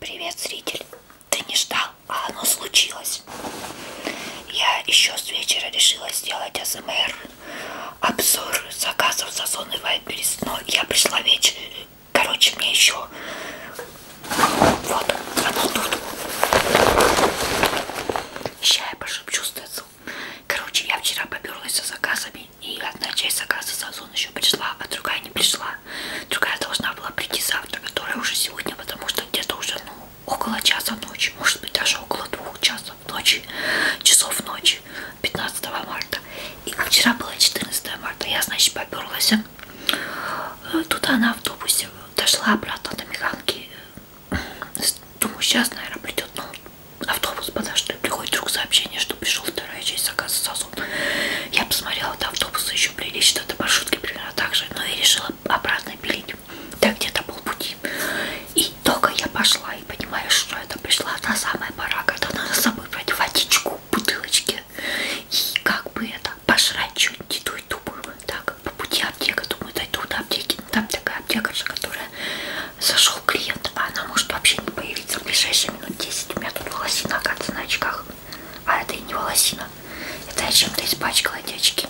Привет, зритель! Ты не ждал, а оно случилось. Я еще с вечера решила сделать АСМР. Обзор заказов за зоны Вайтберис. Но я пришла вечером. Короче, мне еще... Вот, оно тут. Сейчас я пошепчу с Короче, я вчера поперлась со заказами, и одна часть заказа с Озон еще пришла, а другая не пришла. Другая должна была прийти завтра, которая уже сегодня, потому что где-то уже, ну, около часа ночи, может быть, даже около двух часов ночи, часов ночи, 15 марта. И вчера было 14 марта, я, значит, поперлась. Э, Тут она в автобусе дошла обратно до Механки, э, Думаю, сейчас, наверное, придет ну, автобус, потому что приходит вдруг сообщение, что пришел вторая часть заказа сосуд. Я посмотрела, до автобуса еще прилечь, что-то маршрутки примерно так же, но и решила обратно пилить. Да, где-то полпути. И только я пошла и понимаю, что это пришла та самая пора, когда надо с собой брать водичку, бутылочки. И как бы это, пожрать что-нибудь, иду и думаю, так, по пути аптека, думаю, дойду до аптеки, там такая аптекарша, которая зашел клиент, а она может вообще не появиться в ближайшие минут 10. У меня тут волосина, оказывается, на очках. А это и не волосина. Это я чем-то испачкала эти очки.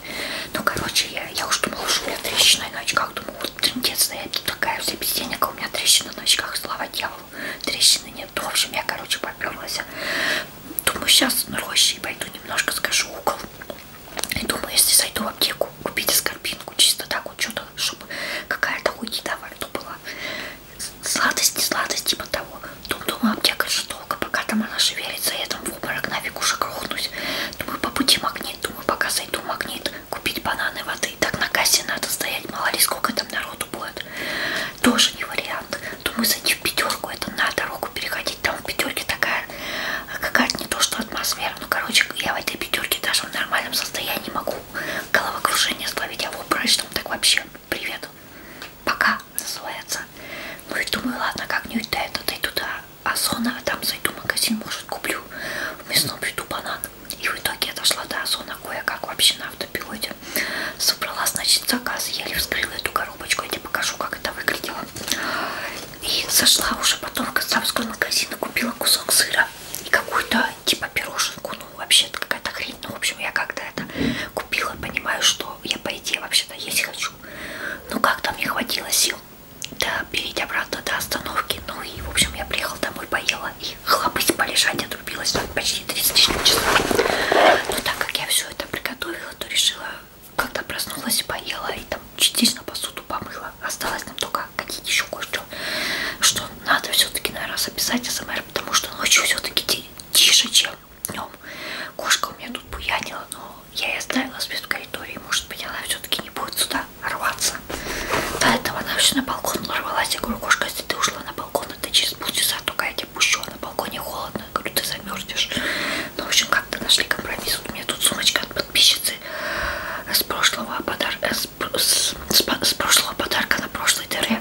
Ну, короче, я, я уж думала, что у меня трещина на очках. Думаю, вот трендец, я тут такая вся без денег, а у меня трещина на очках, слава дьяволу. Трещины нет. Ну, в общем, я, короче, поперлась. Думаю, сейчас на роще и пойду немножко скажу угол. И думаю, если зайду в аптеку, купить скорбинку чисто так вот, что-то, чтобы какая-то хуйня во рту была. Сладости, сладости типа того. Тут думаю, аптека же долго, пока там она шевелится, я там в обморок нафиг уже грохнусь. Думаю, по пути магнит, думаю, пока зайду в магнит, купить бананы воды. Так на кассе надо стоять, мало ли сколько там народу будет. Тоже не вариант. Думаю, зайти в пятерку, это на дорогу переходить. Там в пятерке такая такая какая-то не то что атмосфера. Ну, короче, я в этой пятерке даже в нормальном состоянии могу головокружение словить, а в обрачном так вообще привет. Пока называется. Ну и думаю, ладно, как-нибудь до этого дойду до Озона, а там зайду в магазин, может, куплю в мясном виду банан. И в итоге я дошла до Озона кое-как вообще на автопилоте. Собрала, значит, заказ, еле вскрыла эту коробочку, я тебе покажу, как это выглядело. И зашла уже потом в Казанский магазин и купила кусок сыра и какую-то типа пироженку. Ну, вообще-то какая-то хрень. Ну, в общем, я когда это купила, понимаю, что я по идее вообще-то есть хочу. Но как-то мне хватило сил да, перейти обратно до остановки. Ну и, в общем, я приехала домой, поела и хлопать полежать отрубилась там почти 30 часов. Но так как я все это приготовила, то решила когда проснулась, поела и там частично посуду помыла. Осталось нам только какие еще кое-что, что надо все-таки, наверное, записать СМР, потому что ночью все-таки тише, чем днем. Кошка у меня тут буянила, но я и оставила спит в коридоре, может быть, она все-таки не будет сюда рваться. До этого она все на балкон рвалась. Я говорю, кошка, если ты ушла на балкон, это через полчаса только я тебя пущу, а на балконе холодно. Я говорю, ты замерзнешь. Ну, в общем, как-то нашли компромисс. Вот у меня тут сумочка от подписчицы с прошлого подарка, с, с, с, с прошлого подарка на прошлой дыре.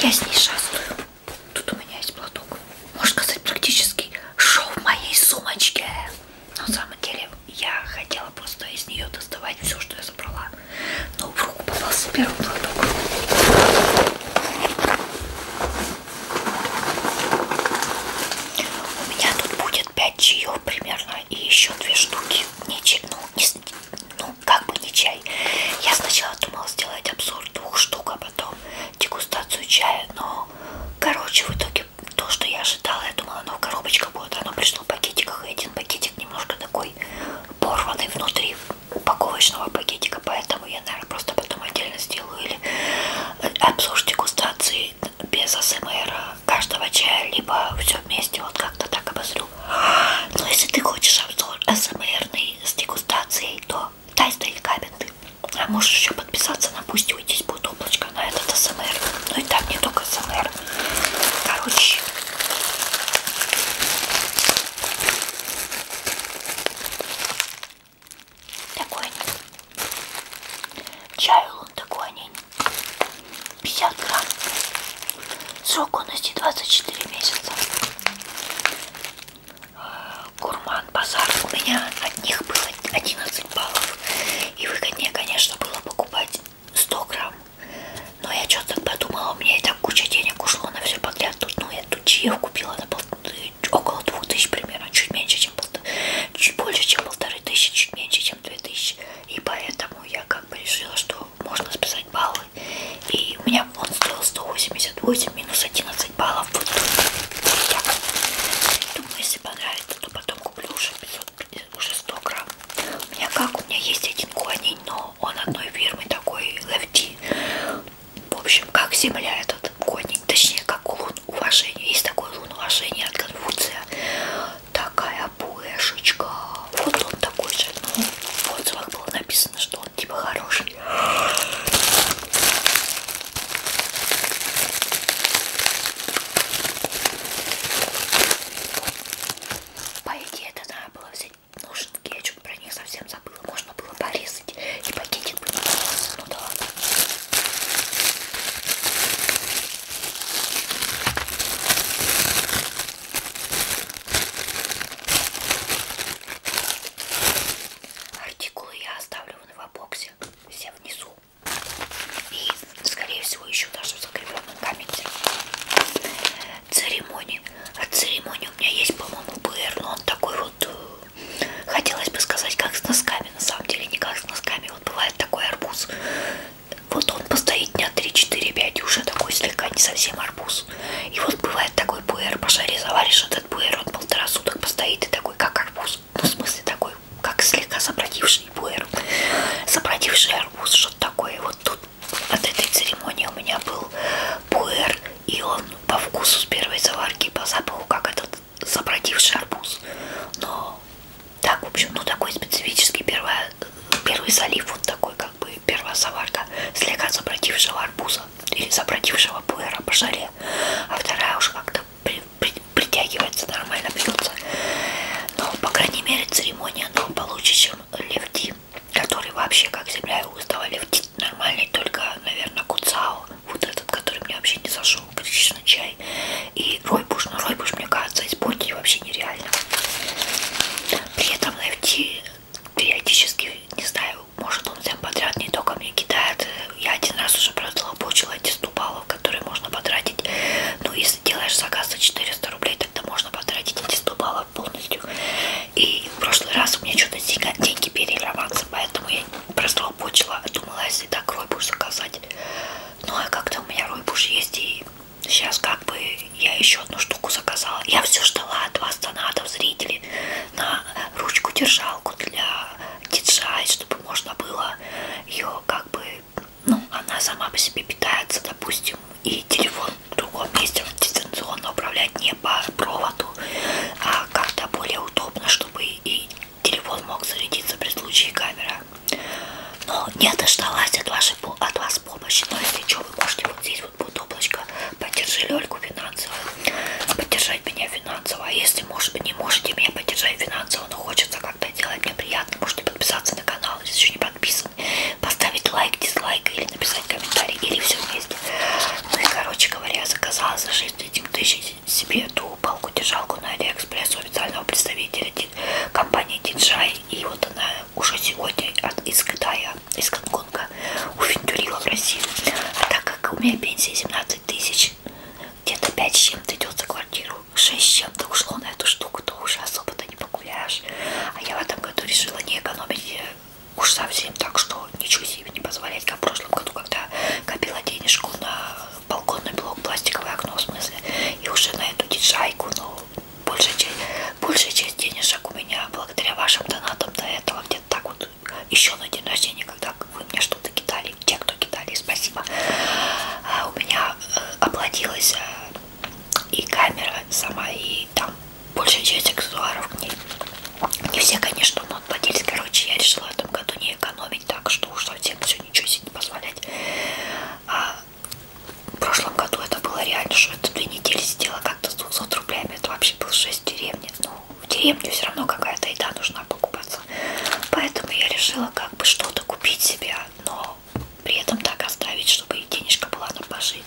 Я с ней шастаю. Тут у меня есть платок. Можно сказать, практически шоу в моей сумочке. Но на самом деле я хотела просто из нее доставать все, что я забрала. Но в руку попался первый платок. У меня тут будет 5 чаев примерно и еще две штуки. Не чай, ну, не, ну, как бы не чай. Я сначала думала сделать обзор двух штук, а потом дегустацию чая. Но, короче, в итоге то, что я ожидала, я думала, оно ну, в коробочках будет. Оно пришло в пакетиках, и один пакетик немножко такой порванный внутри упаковочного пакетика, поэтому поэтому я, наверное, просто потом отдельно сделаю или э, обзор дегустации без АСМР э, каждого чая, либо все вместе, вот как-то так обозрю. Но если ты хочешь обзор АСМРный с дегустацией, то дай стоит каменты. А можешь еще подписаться на пусть уйдись будет облачко на этот АСМР. Ну и там не только АСМР. Короче... Такой они. Чай он такой они. 50 грамм. Срок годности 24 месяца. Гурман базар у меня от них было 11 баллов. И выгоднее, конечно, было покупать 100 грамм. Но я что-то подумала, у меня и так куча денег ушло на все подряд. Тут ну, я тучев купила на пол... около двух тысяч примерно, чуть меньше, чем пол... чуть больше, чем полторы тысячи, чуть меньше, чем две тысячи. И поэтому я как бы решила, что можно списать баллы. И у меня он стоил 188 минус 11 баллов. Вот тут. Думаю, если понравится, то потом куплю уже 500, уже 100 грамм. У меня как? У меня есть один коней, но он одной фирмы такой LFT в общем, как Земля этот угодник, точнее, как лун уважения. Есть такой лун уважения от Конфуция. Такая пуэшечка. Вот он такой же. Ну, в отзывах было написано, что он типа хороший. По идее, это надо было взять нужен кетчуп, про них совсем забыл было, можно было порезать и пакетик бы не остался. Ну да ладно. Артикулы я оставлю в новобоксе, все внизу. И, скорее всего, еще даже в закрепленном комменте. Церемонии. От церемонии у меня есть, по-моему, БР, но он такой вот э, Хотелось бы сказать, как с носками. На самом деле, не как с носками. Вот бывает такой арбуз. Вот он постоит дня 3-4-5 и уже такой слегка не совсем арбуз. И вот бывает такой пуэр, пошари заваришь этот пуэр, он полтора суток постоит и такой, как арбуз. Ну, в смысле, такой, как слегка забродивший пуэр. Забродивший арбуз, что-то такое. Вот тут от этой церемонии у меня был пуэр, и он по вкусу с первой заварки, по запаху, как этот забродивший арбуз. Но так, в общем, ну такой специфический первая, первый залив, вот такой как бы первая заварка слегка забродившего арбуза или забродившего пуэра по жаре, а вторая уж как-то при, при, притягивается, нормально пьется. Но, по крайней мере, церемония ну, получше, чем левти, который вообще как земля и устава левти нормальный, только, наверное, куцао вот этот, который мне вообще не зашел, гречишный чай и ройбуш, но ройбуш, мне кажется, испортить вообще нереально. При этом FT периодически, не знаю, может он всем подряд не только мне кидает. Я один раз уже прозлобучила эти 100 баллов, которые можно потратить. Ну, если делаешь заказ за 400 рублей, тогда можно потратить эти 100 баллов полностью. И в прошлый раз у меня что-то деньги переливаться, поэтому я простолбочила, думала, если так ройбуш заказать. Ну, а как-то у меня ройбуш есть, и сейчас как бы я еще одну штуку заказала. Я все ждала от вас, донатов, зрителей, на ручку-держалку для DJI, чтобы можно было ее как бы, ну, она сама по себе питается, допустим, и телефон в другом месте дистанционно управлять не по проводу, а как-то более удобно, чтобы и телефон мог зарядиться при случае камера. Но не дождалась от, вашей, от вас помощи. Но если что, вы можете вот здесь вот будет облачко. Поддержи Лёльку финансово. Поддержать меня финансово. А если может, не можете меня поддержать финансово, но хочется как-то делать мне приятно, можете подписаться на канал, если еще не подписаны. Поставить лайк, дизлайк или написать комментарий. Или все вместе. Ну и короче говоря, я заказала за 6 тысяч себе эту палку-держалку на Алиэкспресс у официального представителя компании DJI. И вот она уже сегодня от, из Китая, из Гонконга уфентюрила в Россию. А так как у меня пенсия 17 тысяч, где-то 5 с чем-то идет за квартиру, 6 с чем-то ушло на эту штуку, то уже особо-то не погуляешь. А я в этом году решила не экономить э, уж совсем, так что ничего и не позволять, как в прошлом году, когда копила денежку на балконный блок, пластиковое окно, в смысле, и уже на эту диджайку, но большая часть, большая часть денежек у меня благодаря вашим донатам до этого где-то так вот еще на день рождения, когда вы мне что-то кидали, те, кто кидали, спасибо, а, у меня э, оплатилась э, и камера сама, и там большая часть аксессуаров к ней. Не все, конечно, но владелец, короче, я решила в этом году не экономить, так что уж совсем все ничего себе не позволять. А в прошлом году это было реально, что это две недели сделала как-то с 200 рублями, это вообще был 6 в деревне. Ну, в деревне все равно какая-то еда нужна покупаться. Поэтому я решила как бы что-то купить себе, но при этом так оставить, чтобы и денежка была на пожить.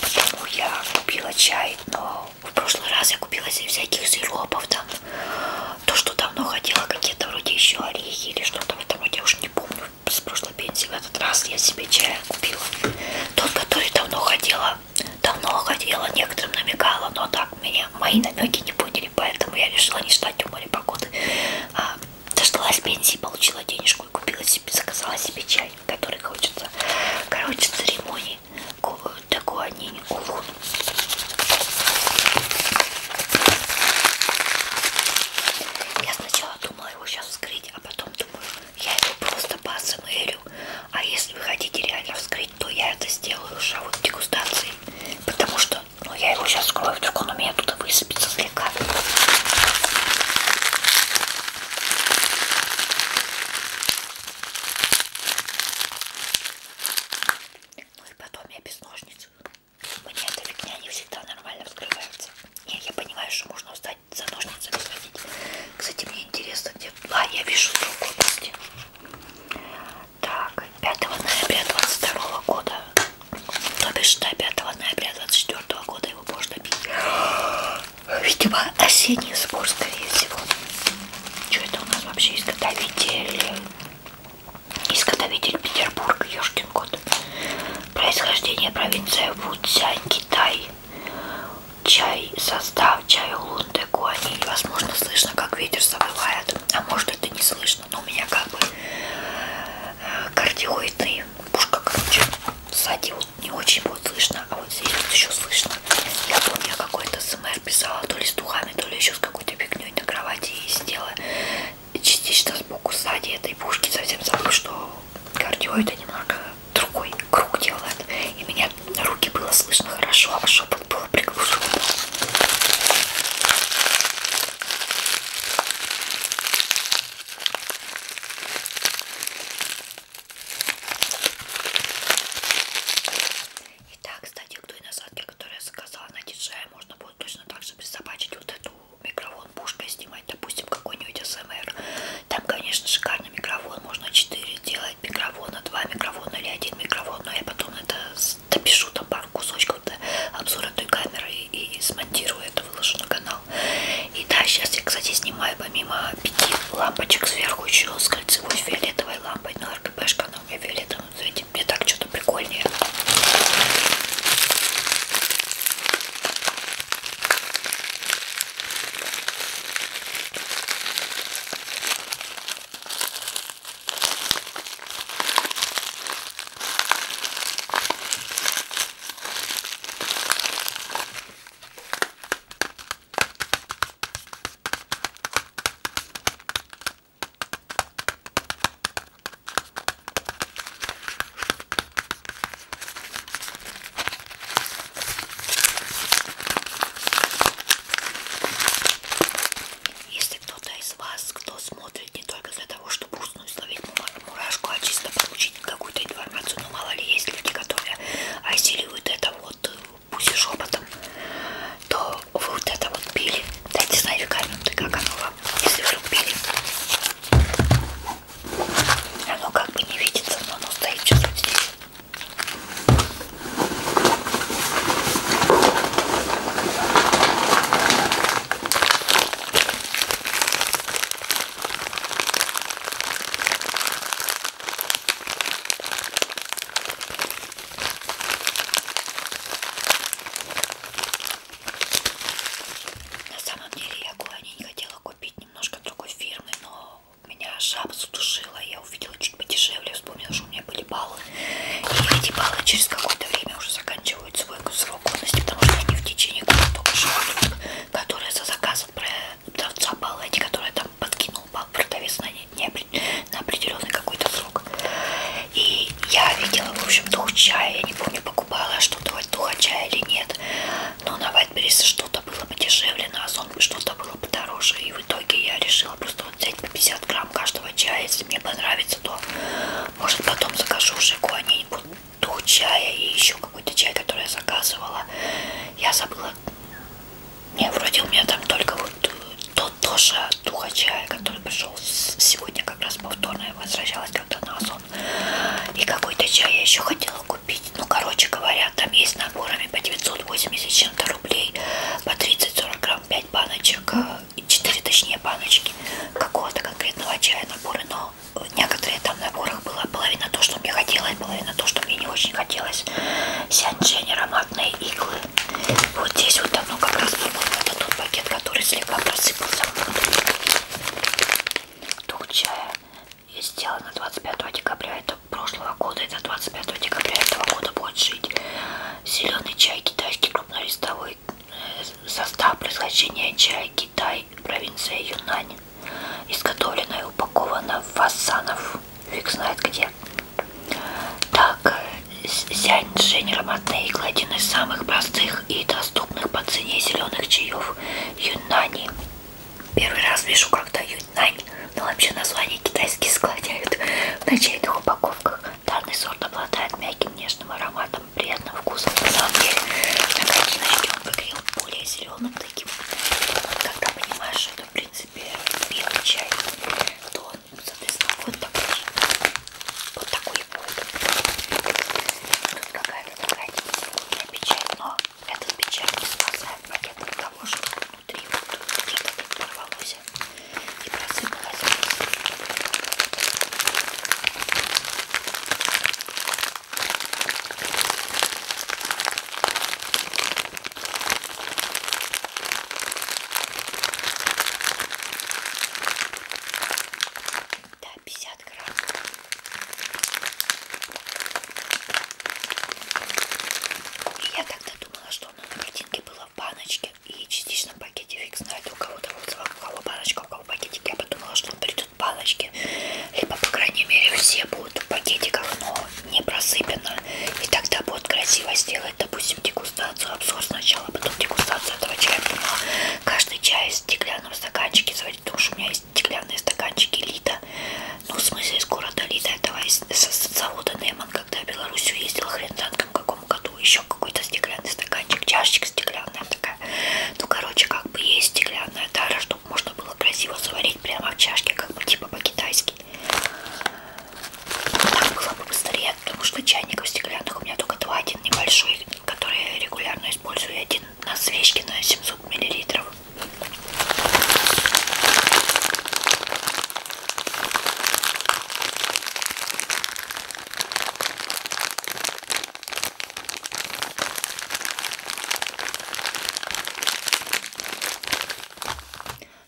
Потому я купила чай, но в прошлый раз я купила всяких сиропов там, то, что давно хотела, какие-то вроде еще орехи или что-то в этом роде, я уж не помню, с прошлой пенсии в этот раз я себе чая купила. Тот, который давно хотела, давно хотела, некоторым намекала, но так меня мои намеки не поняли, поэтому я решила не ждать у моря погоды. А, дождалась пенсии, получила денежку и купила себе, заказала себе чай, который хочется. Короче, церемонии такое они не увут. Я сначала думала его сейчас вскрыть, а потом думаю, я его просто посмырю. А если вы хотите реально вскрыть, то я это сделаю уже вот дегустацией. Потому что, ну я его сейчас вскрою, вдруг он у меня тут высыпется слегка. Ну и потом я без ножниц. Мне эта фигня не всегда нормально вскрывается. Не, я понимаю, что можно встать за ножницами сходить. Кстати, мне интересно, где... А, я вижу срок годности. Так, 5 ноября 22 года. То бишь, до 5 ноября 24 года его можно бить. Видимо, осенний сбор, скорее всего. Что это у нас вообще изготовитель? Изготовитель Петербург, Ёшкин кот. Происхождение провинция Вудзянь, Китай. Чай, состав чая Лунде Гуани. Возможно, слышно, как ветер завывает. А может, это не слышно, но у меня как бы э, кардиоидный пушка, короче. Сзади вот не очень будет слышно, а вот здесь вот еще слышно. Я помню, я какой-то СМР писала то ли с духами, то ли еще с какой-то фигней на кровати и сидела частично сбоку сзади этой пушки. Совсем забыл, что кардиоид немного другой круг делает. И меня руки было слышно хорошо, а шепот было приглушено. Итак, кстати, к той насадке, которую я заказала на диджея, можно будет точно так же присобачить вот эту микрофон пушкой снимать, допустим, какой-нибудь СМР. Там, конечно, шикарный микрофон, можно 4 делать микрофона, 2 микрофона или один микрофон, но я потом это допишу там пару кусочков до обзора той камеры и, и смонтирую это, выложу на канал. И да, сейчас я, кстати, снимаю помимо пяти лампочек сверху еще с кольцевой фиолетовой лампой, но РГБшка, но в фиолетовом цвете мне так что-то прикольнее. Если кто-то из вас, кто смотрит не только для того, чтобы уснуть, словить мурашку, а чисто получить какую-то информацию, ну мало ли есть люди, которые осиливают это вот вот пусть шепотом, то вы вот это вот пили. Да я не знаю, Каменты, как оно вам, если вдруг пили. Оно как бы не видится, но оно стоит сейчас вот здесь. На самом деле я гуани не хотела купить немножко другой фирмы, но меня жаба задушила, я увидела чуть подешевле, вспомнила, что у меня были баллы. И эти баллы через какое-то время уже заканчивают свой срок годности, потому что они в течение года только живут, которые за заказом продавца баллы, эти, которые там там подкинул вам продавец на, не, на определенный какой-то срок. И я видела, в общем, дух чая. Я не помню, покупала что-то духа чая или нет. Но на Вайтберрисе что-то было подешевле, на Озон что-то было подороже. И в итоге я решила просто вот взять по 50 грамм каждого чая. Если мне понравится, то может потом закажу уже они дух чая и еще какой-то чай, который я заказывала. Я забыла было. Не, вроде у меня там только вот э, тот тоже духа чая, который пришел сегодня, как раз повторно я возвращалась когда на Озон. И какой-то чай я еще хотела купить. Ну, короче говоря, там есть наборами по 980 чем-то рублей, по 30-40 грамм 5 баночек, 4 э, точнее баночки какого-то конкретного чая наборы, но в некоторые там наборах была половина то, что мне хотелось, было и на то, что мне не очень хотелось сянчень ароматные иглы. Вот здесь вот оно как раз, по-моему, это тот пакет, который слегка просыпался. Тук чая и сделано 25 декабря это прошлого года. Это 25 декабря этого года будет жить. Зеленый чай китайский крупнолистовой э, состав происхождения чая Китай, провинция Юнань. Изготовлено и упаковано в фасанов фиг знает где. Так, Сянь-Джень ароматная игла один из самых простых и доступных по цене зеленых чаев Юнани. Первый раз вижу, когда Юнань, ну вообще название китайские склоняют на чайных упаковках. Данный сорт обладает мягким нежным ароматом, приятным вкусом. На самом деле, на картиночке он выглядел более зеленым таким, когда понимаешь, что это принципе принципе, белый чай, то он, соответственно, вот такой. Вот такой будет. Тут какая-то такая типа печать, но этот печать не спасает пакет от того, что внутри вот что-то порвалось и просыпалось. Да, 50 грамм. Я тогда думала, что оно на картинке было в баночке и частично в пакете. Фиг знает, у кого-то вот у кого баночка, у кого пакетик. Я подумала, что придут баночки. Либо, по крайней мере, все будут будет в пакетиках, но не просыпано. И тогда будет красиво сделать, допустим, дегустацию, обзор сначала, потом дегустацию этого чая. Но каждый чай в стеклянном стаканчике заводить, потому что у меня есть стеклянные стаканчики Лида. Ну, в смысле, из города Лида, этого из, с завода Неман, когда я в Белоруссию ездила, хрен знает, в каком году, еще какой-то стеклянный стаканчик, чашечка стеклянная такая. Ну, короче, как бы есть стеклянная тара, чтобы можно было красиво заварить прямо в чашке, как бы типа по-китайски. Так было бы быстрее, потому что чайников стеклянных у меня только два. Один небольшой, который я регулярно использую, и один на свечке на 700 миллилитров.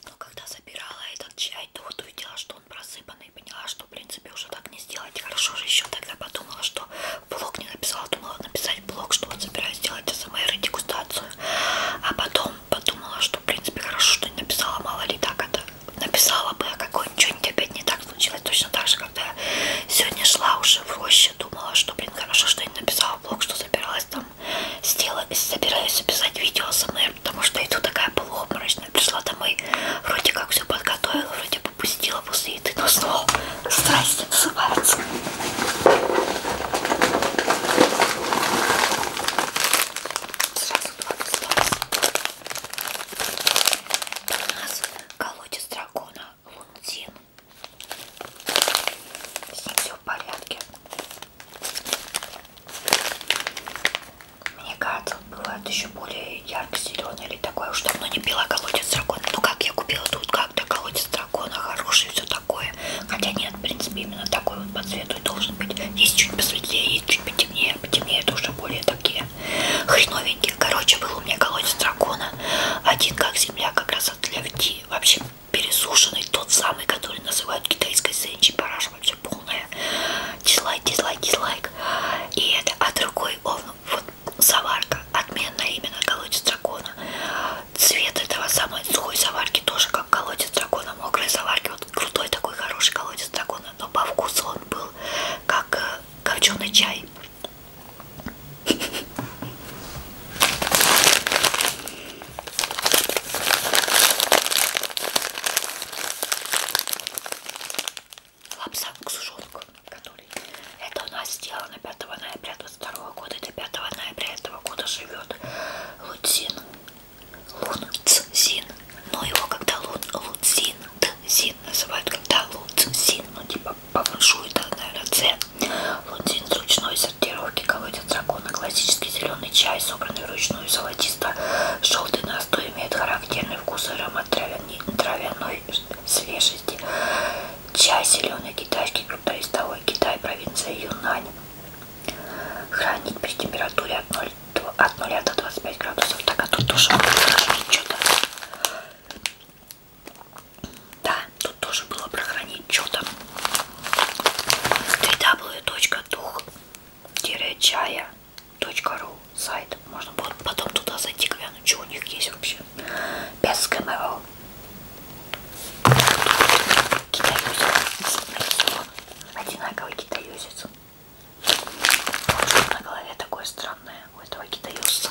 Но когда забирала этот чай, то вот увидела, что он просыпанный, и поняла, что, в принципе, уже так не сделать. Хорошо же еще тогда подумала, что блог не написала, думала написать блог, что вот собираюсь делать СМР и дегустацию. А потом подумала, что, в принципе, хорошо, что не написала, мало ли так это написала бы, а какой-нибудь опять не так случилось. Точно так же, когда я сегодня шла уже в роще, думала, что, блин, хорошо, что я не написала блог, что собиралась там летом сделаю, собираюсь записать видео с МР, потому что иду такая полуобморочная. Пришла домой, вроде как все подготовила, вроде попустила после еды, но снова страсти называются. Сразу два досталось. У нас колодец дракона Лунтин. С ним все в порядке. Мне кажется, бывает еще более ярко-зеленый или такое. Уж давно не пила колодец дракона. Ну как я купила тут как-то колодец дракона, хороший, все такое. Хотя нет, в принципе, именно такой вот по цвету и должен быть. Есть чуть посветлее, есть чуть потемнее. Потемнее это уже более такие хреновенькие. Короче, был у меня колодец дракона. Один как земля, как раз для вти. Вообще пересушенный, тот самый, который называют китайской сенчи, параша вообще полная. Дизлайк, дизлайк, дизлайк. И это, а другой, он, вот, заварка, отменная именно, колодец дракона. Цвет этого самой сухой заварки тоже как колодец дракона, мокрые заварки. Вот крутой такой хороший колодец дракона, но по вкусу он был как э, копченый чай. Лапсак сушонок, который это у нас сделано 5 ноября 22 года, до 5 ноября этого года живет Луцин, Луцин, но его когда Лун, Луцин, Дзин называют, когда Луцин, ну типа повышует, наверное, Ц, Лунтин с ручной сортировки колодец дракона. Классический зеленый чай, собранный вручную золотисто-желтый настой, имеет характерный вкус и аромат травяной, травяной свежести. Чай зеленый китайский крупнолистовой Китай, провинция Юнань. Хранить при температуре от 0, от 0 до 25 градусов. Так, а тут тоже было прохранить что-то. Да, тут тоже было прохранить что-то www.дух-чая.ру сайт. Можно будет потом туда зайти, глянуть, что у них есть вообще. Без ГМО. Китаюзец нарисован. Одинаковый китаюзец. Что на голове такое странное у этого китаюзца.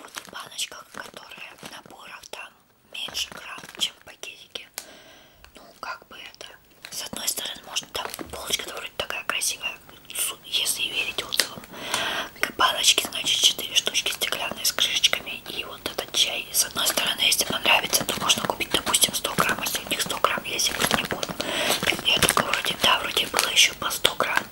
Вот в баночках, которые наборов там меньше грамм, чем в пакетике. Ну, как бы это. С одной стороны, можно там полочка вроде такая красивая, если верить отзывам. Баночки, значит, 4 штучки стеклянные с крышечками. И вот этот чай. С одной стороны, если понравится, то можно купить, допустим, 100 грамм последних 100 грамм, я секрет не помню. Я только вроде, да, вроде было еще по 100 грамм.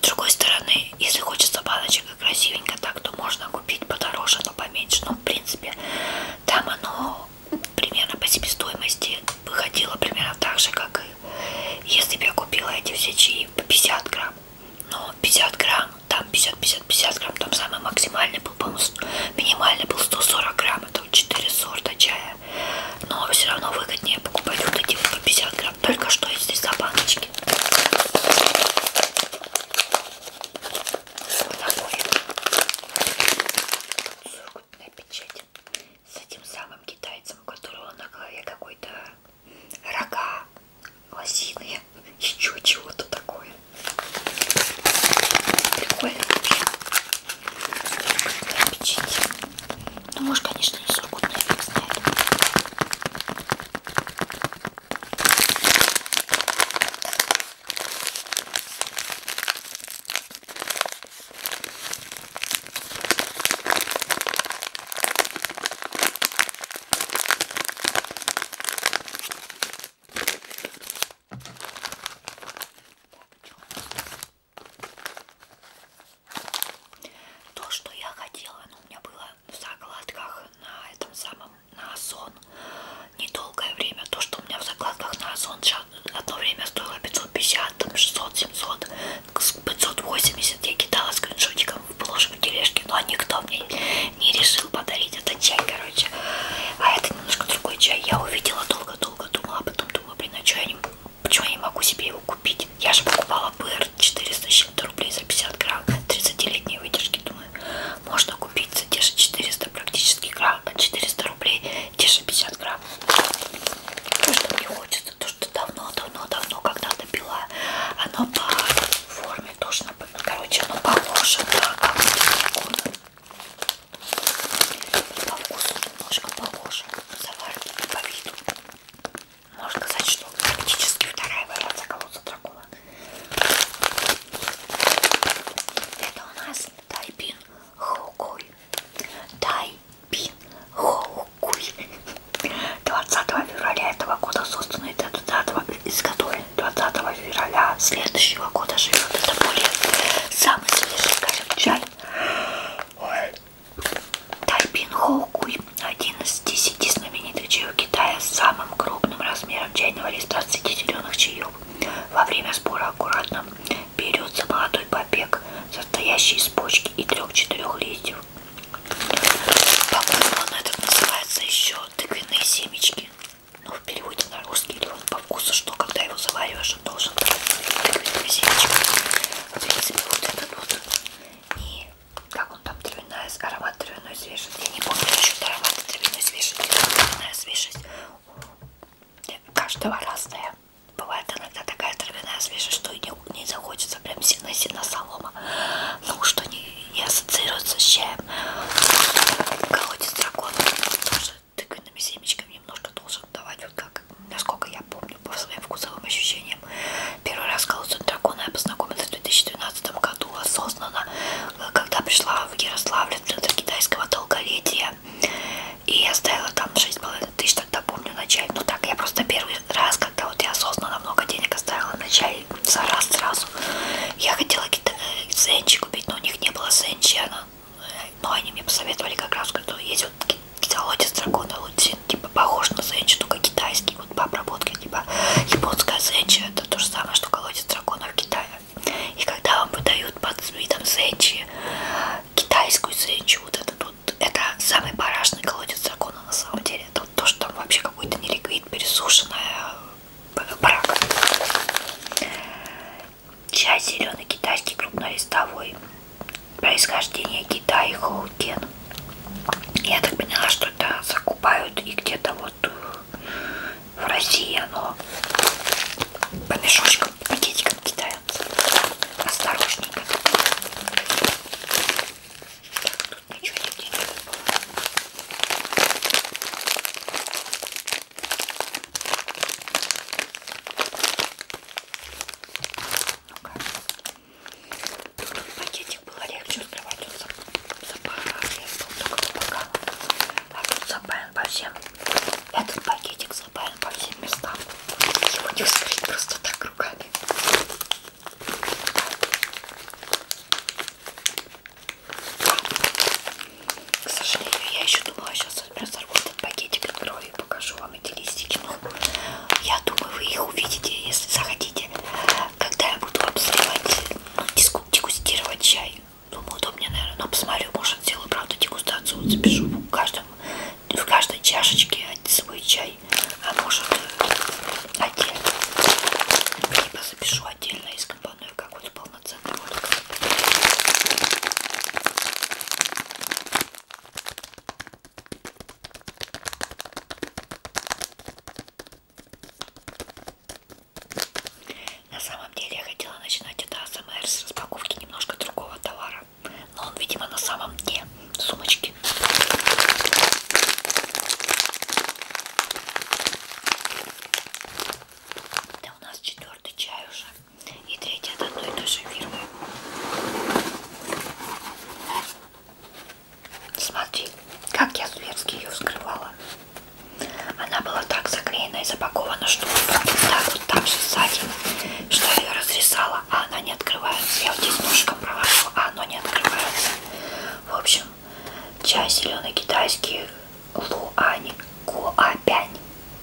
С другой стороны, если хочется баночек и красивенько так, то можно купить подороже, но поменьше. Ну, в принципе, там оно примерно по себестоимости выходило примерно так же, как и если бы я купила эти все чаи по 50 грамм. Но 50 грамм, там 50-50-50 грамм, там самый максимальный был, по минимальный был 140 грамм, это 4 сорта чая но все равно выгоднее покупать вот эти вот по 50 грамм, только что если за баночки. Вот такой сургутная печать с этим самым китайцем, у которого на голове какой-то рога, лосиные, еще чего-то такое. Прикольно вообще. Печенье. Ну, может, конечно, и сургутный фиг знает. Так, то, что я хотела, но ну, у меня было в закладках на этом самом, на Озон, недолгое время. То, что у меня в закладках на Озон одно время стоило 550, там 600, 700, 580. Я кидала скриншотиком в бложку тележки, но никто мне не решил подарить этот чай, короче. А это немножко другой чай. Я увидела долго-долго, думала, а потом думала, блин, а что я не Почему я не могу себе его купить? Я же покупала БР 400 чем-то рублей за 50 грамм 30-летней выдержки. Думаю, можно купить за те же 400 практически грамм, 400 а рублей, те же 50 грамм. То, что мне хочется, то, что давно-давно-давно когда-то пила, оно по форме тоже, короче, оно похоже на какой-то по вкусу немножко похожи, заварки по виду. Можно сказать, что практически вторая вариация колодца дракона. Это у нас тайпин хоукуй. Тайпин хоукуй. 20 февраля этого года созданный изготовлен 20 февраля следующего года живет. Это более самый свежий, скажем, чай. Ой. Тайпин Хоукуй, один из десяти знаменитых чаев Китая с самым крупным размером чайного листа среди зеленых чаев. Во время сбора аккуратно берется молодой побег, состоящий из почки и трех-четырех листьев. По-моему, он этот называется еще тыквенные семечки. Ну, в переводе на русский или он по вкусу, что когда его завариваешь, должен, должен резиночка. В принципе, вот этот вот. И как он там, травяная, аромат травяной свежести. Я не помню, что аромат травяной свежести. Травяная свежесть каждого разная. Бывает иногда такая травяная свежесть, что и не, не захочется прям сильно-сильно солома. Ну, что не, не ассоциируется с чаем. Колодец дракона тоже тыквенными семечками немножко должен давать, вот как, насколько я помню, по своим вкусовым ощущениям. Первый раз с колодцем дракона я познакомилась в 2012 году осознанно, э, когда пришла в Ярославль, в центр китайского долголетия. И я ставила там 6,5 тысяч, тогда помню, начале. Ну так, я просто первый раз, когда вот я осознанно много денег оставила в начале, за раз сразу. Я хотела какие-то э, сенчи купить, но у них не было сенчи, она но ну, они мне посоветовали как раз, когда есть вот китолотец дракона лутин, типа похож на зенчу, только китайский, вот по обработке, типа японская зенча, это то же самое, что колодец дракона в Китае. И когда вам подают под видом зенчи, китайскую зенчу, вот этот вот, это самый барашный колодец дракона на самом деле, это вот то, что там вообще какой-то неликвид, пересушенная э, брак. Чай зеленый китайский крупнолистовой. Происхождение Китая и Хоукен. Я так поняла, что это закупают и где-то вот э, в России оно по мешочкам, пакетикам китайцам. Осторожненько. Так, тут ничего нигде не было. Ну-ка. Тут пакетик было легче открывать. Тут запаралез был только по бокам. А тут запаян по всем. Этот пакетик запаян по всем местам. Его не вскрыть просто так руками. К сожалению, я еще думала, сейчас разорву этот пакетик от крови покажу вам эти листики. Ну, я думаю, вы их увидите, если захотите. Когда я буду обстрелать, ну, дегустировать чай. Думаю, удобнее, наверное. Но посмотрю, может, сделаю, правда, дегустацию. Вот запишу в, каждом, в каждой чашечке свой чай. А может, отдельно. Либо запишу отдельно из компании, как вот полноценный водка. На самом деле я хотела начинать это АСМР с распаковки немножко другого товара. Но он, видимо, на самом дне сумочки. Это у нас четвертый чай уже и третья от одной и той же фирмы. Смотри, как я зверски ее вскрывала. Она была так заклеена и запакована, что так вот так же сзади, что я ее разрисала, а она не открывается. Я вот здесь ножиком провожу, а оно не открывается. В общем, чай зеленый китайский луань куапянь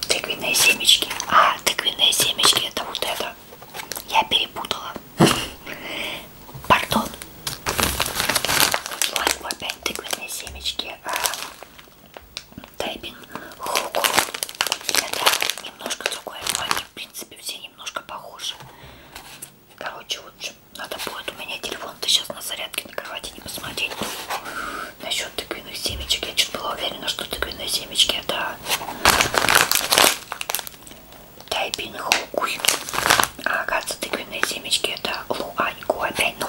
тыквенные семечки. А, тыквенные семечки это вот это. Я перепутала. Пардон. Вот опять тыквенные семечки. А, Тайпин. Это немножко другое, но ну, они в принципе все немножко похожи. Короче, вот надо будет у меня телефон-то сейчас на зарядке на кровати не посмотреть. Насчет тыквенных семечек. Я чуть была уверена, что тыквенные семечки это Тайпин Хоукуй. А оказывается, тыквенные семечки это Луаньку опять. Ну,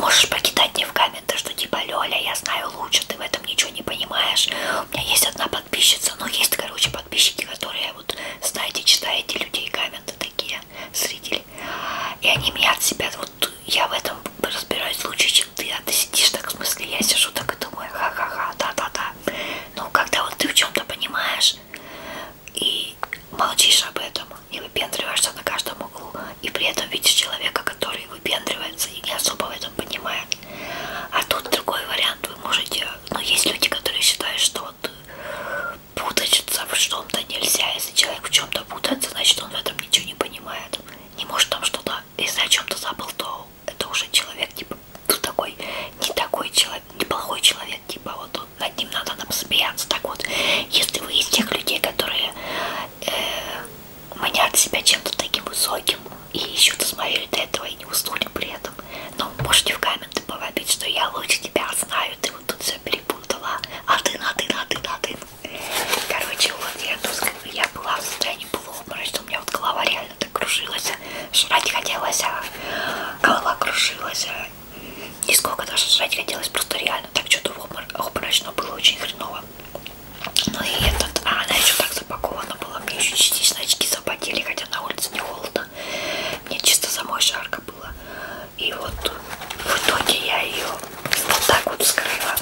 можешь покидать мне в комменты, что типа Лёля, я знаю лучше, ты в этом ничего не понимаешь. У меня есть одна подписчица, но ну, есть, короче, подписчики, которые вот, знаете, читаете людей комменты такие, зрители. И они меня от себя тут я в этом разбираюсь лучше, чем ты, а ты сидишь так, в смысле, я сижу так и думаю, ха-ха-ха, да-да-да. Но когда вот ты в чем-то понимаешь и молчишь об этом, и выпендриваешься на каждом углу, и при этом видишь человека, который выпендривается и не особо в этом понимает. А тут другой вариант, вы можете, но ну, есть люди, которые считают, что вот путаться в чем-то нельзя, если человек в чем-то путается, значит он в этом ничего не понимает, не может там что-то если о чем-то забыл, то это уже человек, типа, тут ну, такой, не такой человек, неплохой человек, типа, вот он, над ним надо нам смеяться. Так вот, если вы из тех людей, которые э, манят себя чем-то таким высоким и еще досмотрели до этого и не уснули при этом, ну, можете в комменты побомбить, что я лучше тебя знаю, ты вот тут все перепутала, а ты на ты, на ты, на ты. Короче, вот я тут я была в состоянии полуобморочного, у меня вот голова реально так кружилась, жрать хотелось, а голова кружилась, а сколько даже жрать хотелось, просто реально так что-то обморочно было очень хреново. Ну и этот, а она еще так запакована была, мне еще частично очки запотели, хотя на улице не холодно, мне чисто самой жарко было. И вот в итоге я ее вот так вот вскрыла.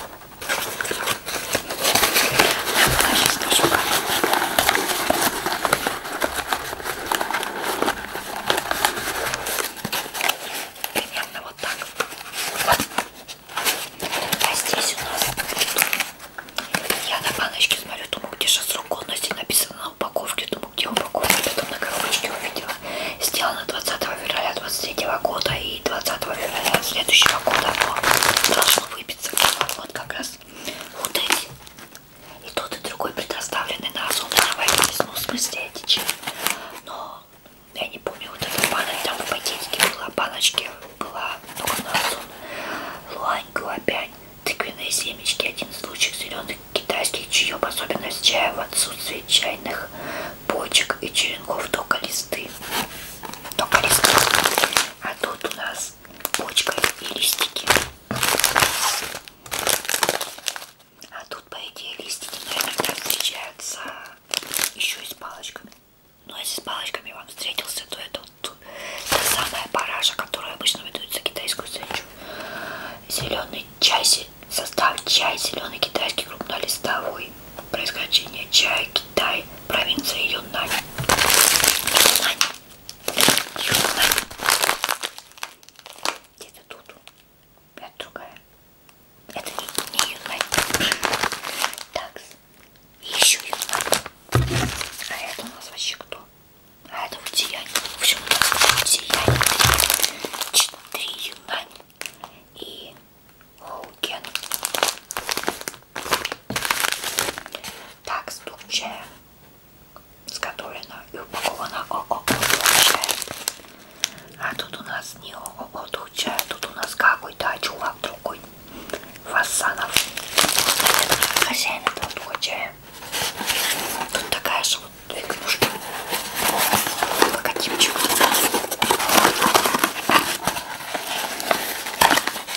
Примерно вот так. А здесь у нас я на баночке смотрю, думаю, где же срок годности написано на упаковке, думаю, где упаковка, потом на коробочке увидела. Сделано 20 февраля 23 года и 20 февраля следующего года оно должно выбиться. Вот как раз вот эти. И тот, и другой предоставлены на озон проводились. Ну, в смысле эти чипы. Но я не помню, вот эта баночка, там в пакетике была баночки, была только на озон. Луань, глобянь, тыквенные семечки, один из лучших зеленых китайских чаев, особенность чая в отсутствии чайных почек и черенков только листы. Только листы. А тут у нас почка и листики. А тут, по идее, листики, наверное, встречаются еще и с палочками. Но ну, если с палочками вам встретился, то это вот та самая параша, которая обычно выдают за китайскую свечу. Зеленый чай, состав чай, зеленый китайский крупнолистовой. Происхождение чая Китай, провинция Юнань. Юнань. Юнань. Где-то тут. Это другая. Это не, не Юнань. Так. Еще Юнань. А это у нас вообще кто? А это вот Сиянь. В общем, у нас Сиянь. Четыре Юнань. И Оукен. Так, стук чая. Сготовлено и упаковано ООО чай. А тут у нас не ООО тут чай, тут у нас какой-то чувак другой. Фасанов. Хозяин этого духа чая. Тут такая же вот две книжки. Логотипчик.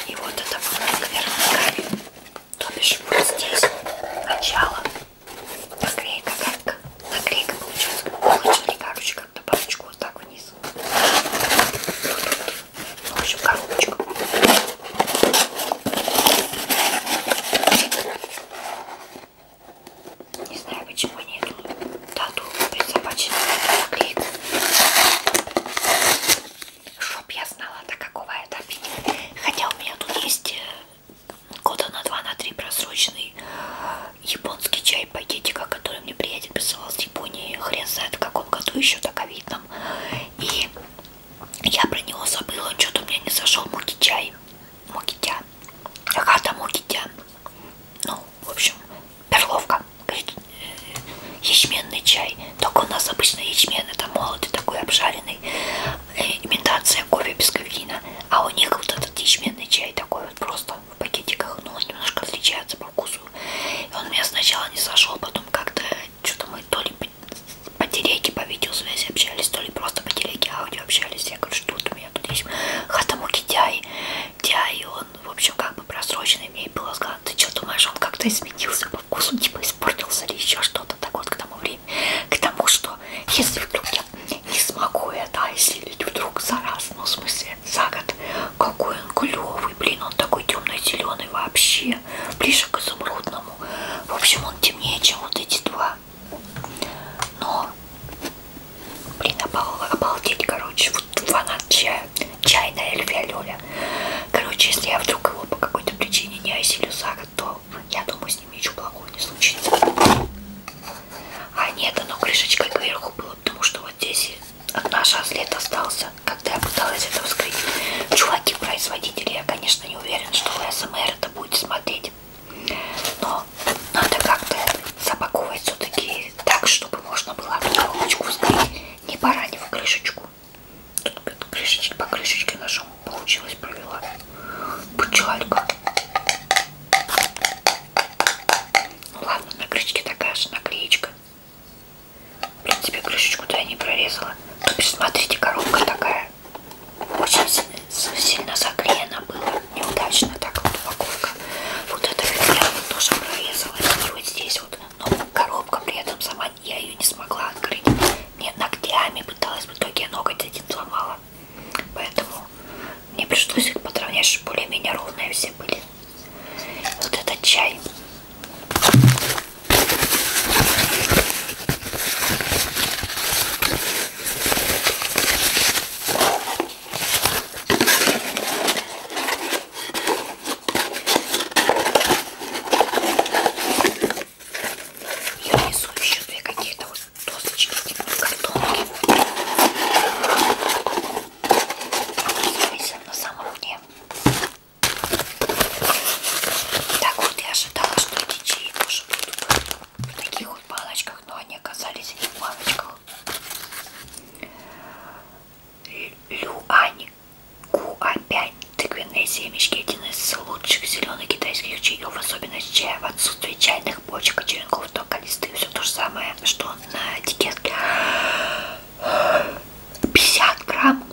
И вот это было кверх ногами. То бишь вот здесь начало. Наклейка как? Наклейка получилась как булочка, короче, как-то парочку вот так вниз. Ну, в общем, коробочка. Не знаю, почему нет черную тату присобаченную наклейку. Чтоб я знала, до какого это Хотя у меня тут есть э, года на два, на три просроченный японский чай пакетика, который мне приятель присылал с Японии. Хрен знает в каком году еще так видно. И я про него забыла, он что-то у меня не зашел муки чай. Мокитя. Агата Мокитя. Ну, в общем, перловка, говорит, ячменный чай. Только у нас обычно ячмен, это молотый такой обжаренный, э, имитация кофе без кофеина. А у них вот этот ячменный чай такой вот просто в пакетиках, но ну, он немножко отличается по вкусу. И он меня сначала не сошел, потом как-то что-то мы то ли по телеге, по видеосвязи общались, то ли просто по телеге аудио общались. Я говорю, что вот у меня тут есть хатамуки Дяй. Дяй, он ну, в общем, как бы просроченный, мне было сказано, ты что думаешь, он как-то изменился по вкусу, типа испортился или еще что-то, так вот к тому времени, к тому, что если вдруг я не смогу это осилить, а вдруг за раз, ну, в смысле, за год, какой он клевый, блин, он такой темно-зеленый вообще, ближе к изумрудному, в общем, он темнее, чем вот эти два, но Блин, обалдеть, короче, вот фанат чая, чайная Эльфия Лёля. Короче, если я вдруг его по какой-то причине не осилю за год, то я думаю, с ним ничего плохого не случится. А нет, оно крышечкой кверху было, потому что вот здесь одна шазлет остался, когда я пыталась это вскрыть. Чуваки-производители, я, конечно, не уверен, что вы СМР это будете смотреть. Но надо как-то запаковывать все-таки так, чтобы можно было эту коробочку вскрыть, не поранив крышечку. Тут крышечки по крышечке ножом получилось, провела. Пучалька. Ну ладно, на крышечке такая же наклеечка. Блин, тебе крышечку-то я не прорезала. Тут, смотрите, коробка такая. Очень сильно заклеена была неудачно так вот упаковка. Вот эта вот тоже прорезалась. И вот здесь вот. Но ну, коробка при этом сама я ее не смогла открыть. Мне ногтями пыталась в итоге ноготь один сломала. Поэтому мне пришлось их подровнять, чтобы более-менее ровные все были. Вот этот чай. Я несу еще две какие-то вот досочки, типа картонки. Смысл на самом дне. Так вот я ожидала, что эти чаи тоже будут в таких вот палочках, но они оказались в палочках. Люань Куапянь. Тыквенные семечки – один из лучших зеленых китайских чаев, особенность чая в отсутствии чайных почек, черенков, только листы. Все то же самое, что на этикетке. 50 грамм.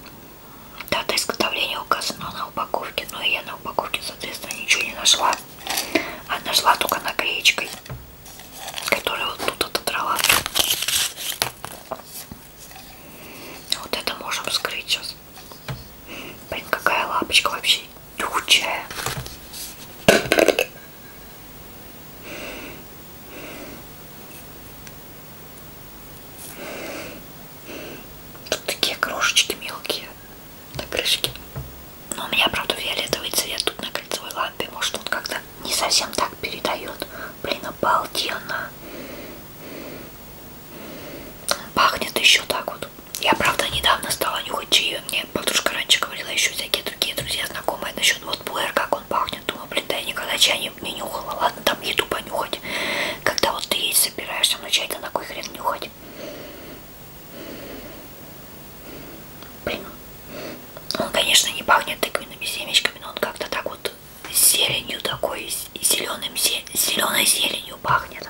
Дата изготовления указана на упаковке, но я на упаковке, соответственно, ничего не нашла. А нашла только наклеечкой который вот тут отодрала. Вот это можем скрыть сейчас. Блин, какая лапочка вообще дючая. Тут такие крошечки мелкие на крышке. Но у меня, правда, фиолетовый цвет тут на кольцевой лампе. Может, он как-то не совсем так передает. Блин, обалденно. Пахнет еще так вот. Я, правда, недавно стала нюхать чаю. Мне подружка раньше говорила еще всякие другие друзья, знакомые насчет вот пуэр, как он пахнет. Думаю, блин, да я никогда чай не, не нюхала. Ладно, там еду понюхать. Когда вот ты есть собираешься, но ну, чай-то на кой хрен нюхать? Блин. Он, конечно, не пахнет тыквенными семечками, но он как-то так вот зеленью такой, зеленым, зеленой зеленью пахнет.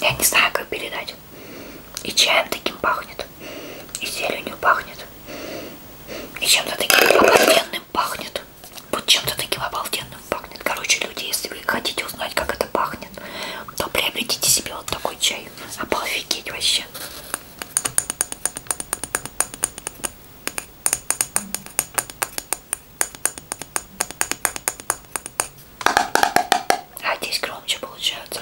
Я не знаю, как передать. И чаем таким пахнет, и зеленью пахнет, и чем-то таким обалденным пахнет. Вот чем-то таким обалденным пахнет. Короче, люди, если вы хотите узнать, как это пахнет, то приобретите себе вот такой чай чай. Обалфигеть вообще. А здесь громче получается.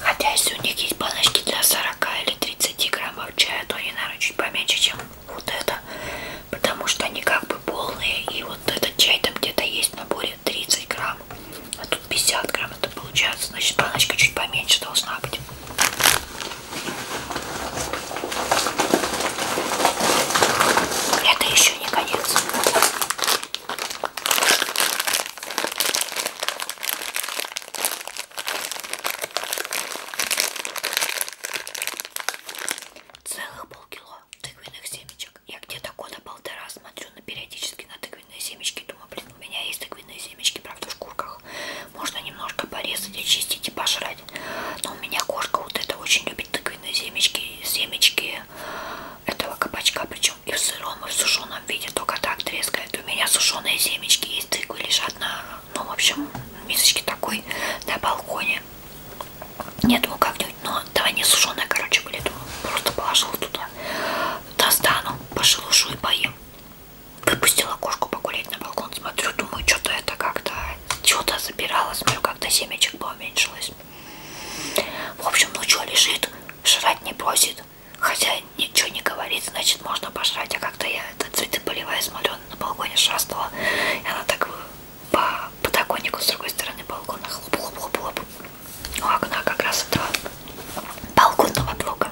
Хотя если у них есть баночки для 40 или 30 граммов чая, то они, наверное, чуть поменьше, чем вот это. Потому что они как бы полные. И вот этот чай там где-то есть в наборе 30 грамм. А тут 50 грамм это получается. Значит, баночка чуть поменьше должна быть. Это еще не конец. Целых полкило тыквенных семечек. Я где-то года полтора смотрю на периодически на тыквенные семечки. Думаю, блин, у меня есть тыквенные семечки, правда, в шкурках. Можно немножко порезать, очистить и пожрать. Но у меня кошка вот это очень любит тыквенные семечки. Семечки этого кабачка, причем и в сыром, и в сушеном виде, только так трескает. У меня сушеные семечки есть, тыквы лежат на, ну, в общем, мисочке такой на балконе. Я думаю, как-нибудь, но ну, да, они сушеные, короче, были, думаю, просто положил туда. Достану, пошелушу и поем. Выпустила кошку погулять на балкон, смотрю, думаю, что-то это как-то, что-то забирала, смотрю, как-то семечек поуменьшилось. В общем, ну что, лежит, жрать не просит. Хотя ничего не говорит, значит, можно пожрать. А как-то я это цветы поливая смотрю, она на балконе шастала. И она так по подоконнику с другой стороны балкона хлоп-хлоп-хлоп-хлоп. У окна как раз этого балконного блока.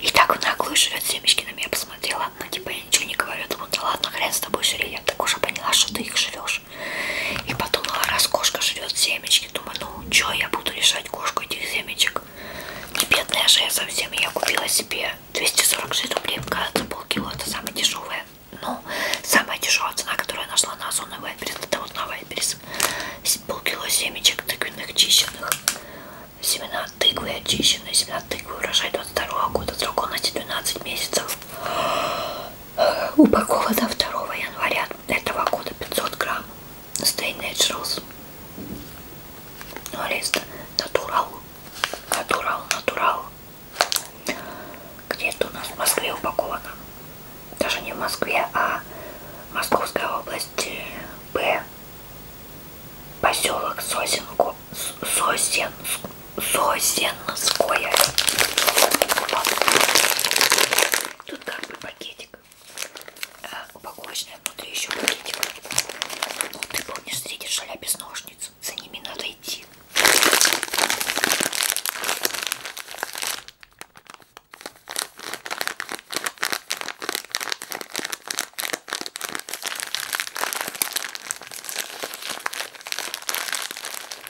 И так в наглую жрет семечки на меня посмотрела. Ну, типа, я ничего не говорю. Думаю, да ладно, хрен с тобой жри. Я так уже поняла, что ты их жрешь роскошь. И подумала, раз кошка жрет семечки, думаю, ну чё я буду лишать кошку этих семечек. Не бедная же я совсем, я купила себе 246 рублей, кажется, полкило, это самое дешевое. Ну, самая дешевая цена, которую я нашла на Озон и Вайберис, это вот на Вайберис. Полкило семечек тыквенных очищенных. Семена тыквы очищенные, семена тыквы урожай 22 года, срок годности 12 месяцев упакована 2 января этого года 500 грамм Stay Naturals лист натурал натурал натурал где это у нас в Москве упаковано даже не в Москве а Московская область Б поселок Сосенку Сосенск Созенское. Тут как бы пакетик. Э, а, упаковочная, внутри еще пакетик. Ну, ты помнишь, среди шаля без ножниц. За ними надо идти.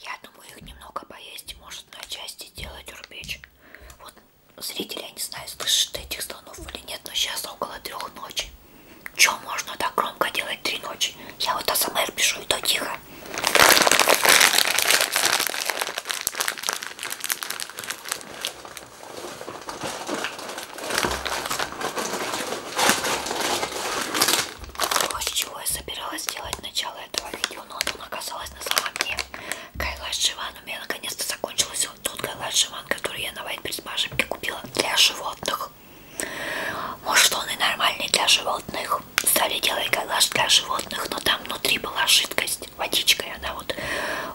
Я думаю, их немного поесть может на части делать урбеч. Вот зрители, я не знаю, слышат этих слонов или нет, но сейчас около трех ночи. Че можно так громко делать три ночи? Я вот АСМР пишу, и то тихо. То, с чего я собиралась сделать начало этого видео, но ну, оно оказалось на самом деле. Кайлаш Шиван у меня наконец-то закончился вот тот Кайлаш Шиван, который я на Вайтбридж-Машинке купила для животных. Может он и нормальный для животных. Стали делать кайлаш для животных, но там внутри была жидкость, водичка, и она вот...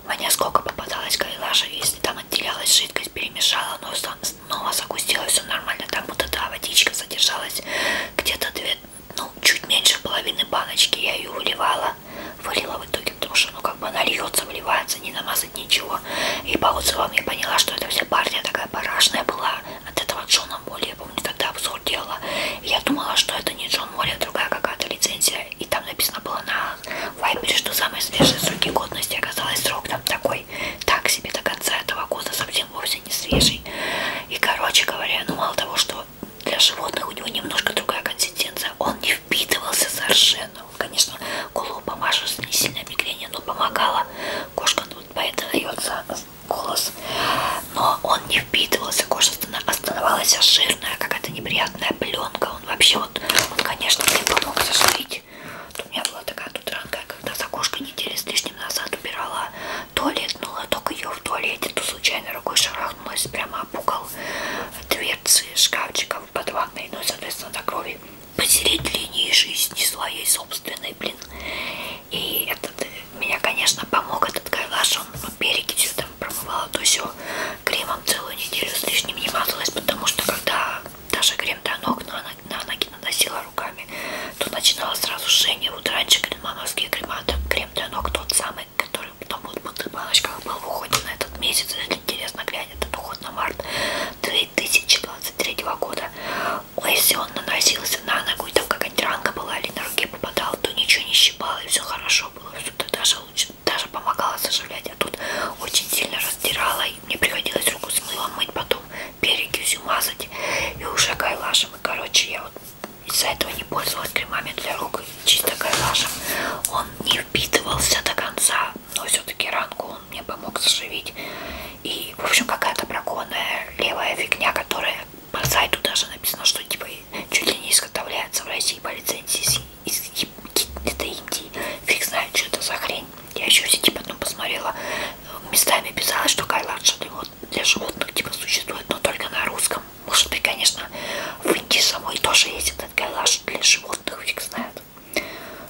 У меня сколько попадалось кайлаша, если там отделялась жидкость, опять перемешала, но снова загустилось, все нормально. Там вот эта водичка содержалась где-то две, ну, чуть меньше половины баночки. Я ее выливала, вылила в итоге, потому что, ну, как бы она льется, выливается, не намазать ничего. И по отзывам я поняла, что это вся партия такая парашная была от этого Джона Молли. Я помню, тогда обзор делала. И я думала, что это не Джон Молли, а другая какая-то лицензия. И там написано было на вайпере, что самые свежие сроки годности оказалось срок там такой, так себе до конца этого года, совсем вовсе не свежий. И, короче говоря, ну мало того, что для животных у него немножко другая консистенция, он не впитывался совершенно. Конечно, голову помажешь, не сильное мигрение, но помогала кошка, ну, поэтому дается голос. Но он не впитывался, кожа оставалась а жирная, какая-то неприятная пленка. Он вообще вот, он, конечно, мне помог зашить убирать. Вот у меня была такая тутранка, когда за кошкой недели с лишним назад убирала туалет, но лоток ее в туалете, то случайно рукой шарахнулась прямо об угол дверцы шкафчиков под ванной, ну и, соответственно, до крови посередине линии жизни своей собственной, блин. И этот меня, конечно, помог этот гайлаш, он ну, перекисью там промывала, то все кремом целую неделю с лишним не мазалась, потому что когда даже крем для ног на, на ноги наносила руками, то начинала сразу жжение. Вот раньше кренмановский крем для ног тот самый, который потом вот в бутылочках был в уходе на этот месяц, если интересно глянь, этот уход на март 2023 года. Но если он наносился на ногу, и там какая-нибудь ранка была или на руке попадала, то ничего не щипало, и все хорошо было, все даже лучше, даже помогало заживлять, а тут очень сильно раздирала Ай, мне приходилось руку с мылом мыть, потом перекисью мазать и уже кайлашем. И, короче, я вот из-за этого не пользовалась кремами для рук, чисто кайлашем. Он не впитывался до конца, но все-таки ранку он мне помог заживить. И, в общем, какая-то бракованная левая фигня, которая по сайту даже написано, что типа чуть ли не изготовляется в России по лицензии из это Индии. Фиг знает, что это за хрень. Я еще все типа потом ну, посмотрела. Э, местами писала, что Кайлад вот для животных типа существует, но только на русском. Может быть, конечно, в Индии самой тоже есть этот Кайлаш для животных, фиг знает.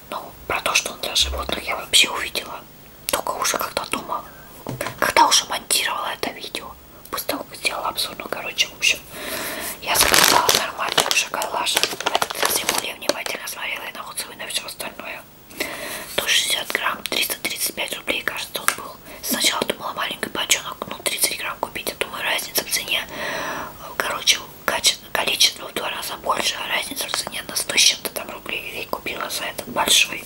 Но про то, что он для животных, я вообще увидела. Только уже когда дома, когда уже монтировала это видео. После того, как сделала обзор, ну, короче, в общем, я заказала нормальную шоколажа. Этот раз ему я внимательно смотрела и на отзывы и на все остальное. 160 грамм, 335 рублей, кажется, он был. Сначала думала маленький бочонок, ну 30 грамм купить, а думаю, разница в цене, короче, количество в два раза больше, а разница в цене на 100 с чем-то там рублей. И купила за этот большой.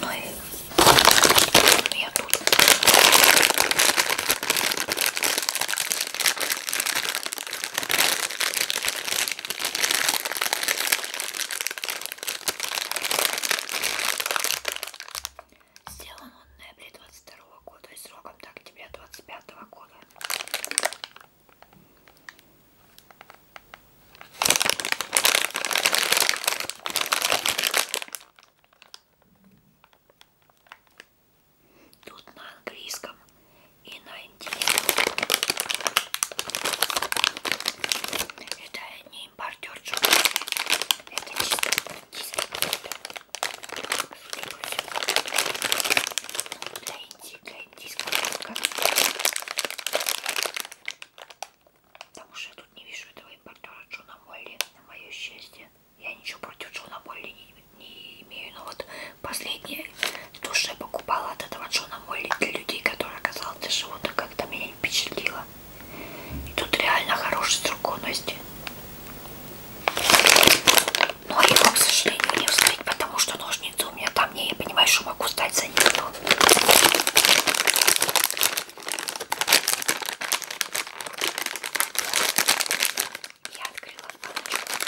Ну и я тут. Сделан он в ноябре 22 -го года и сроком до октября 25 -го года. Тут на английском и на индийском. Это не импортер Это чисто Для Индии, для индийского рынка. Потому что я тут не вижу этого импортера Джона Молли, на мое счастье. Я ничего против Джона Молли не, не имею, но вот последнее, то, что я покупала от этого Джона Молли для людей, которые оказалось для животных, как-то меня впечатлило. И тут реально хорошие струконности. Но его, к сожалению, не встать, потому что ножницы у меня там не, я понимаю, что могу стать за них. Но... Я открыла баночку.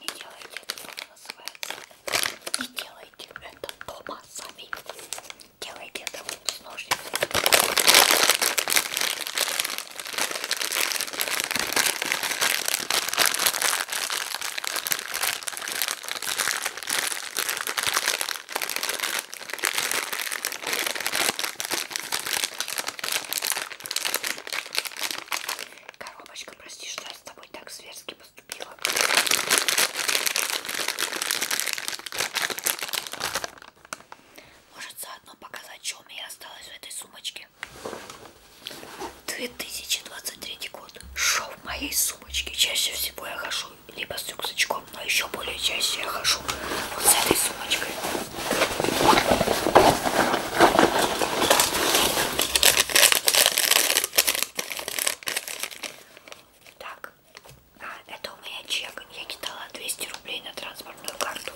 Не делайте это называется. Не делайте это дома сами. Делайте это с ножницами. Итак, Коробочка, прости, что я с тобой так зверски поступила. Может заодно показать, что у меня осталось в этой сумочке. 2023 год. Шоу в моей сумочке. Чаще всего я хожу либо с рюкзачком, но еще более чаще я хожу вот с этой сумочкой. Так, а, это у меня чек. Я кидала 200 рублей на транспортную карту.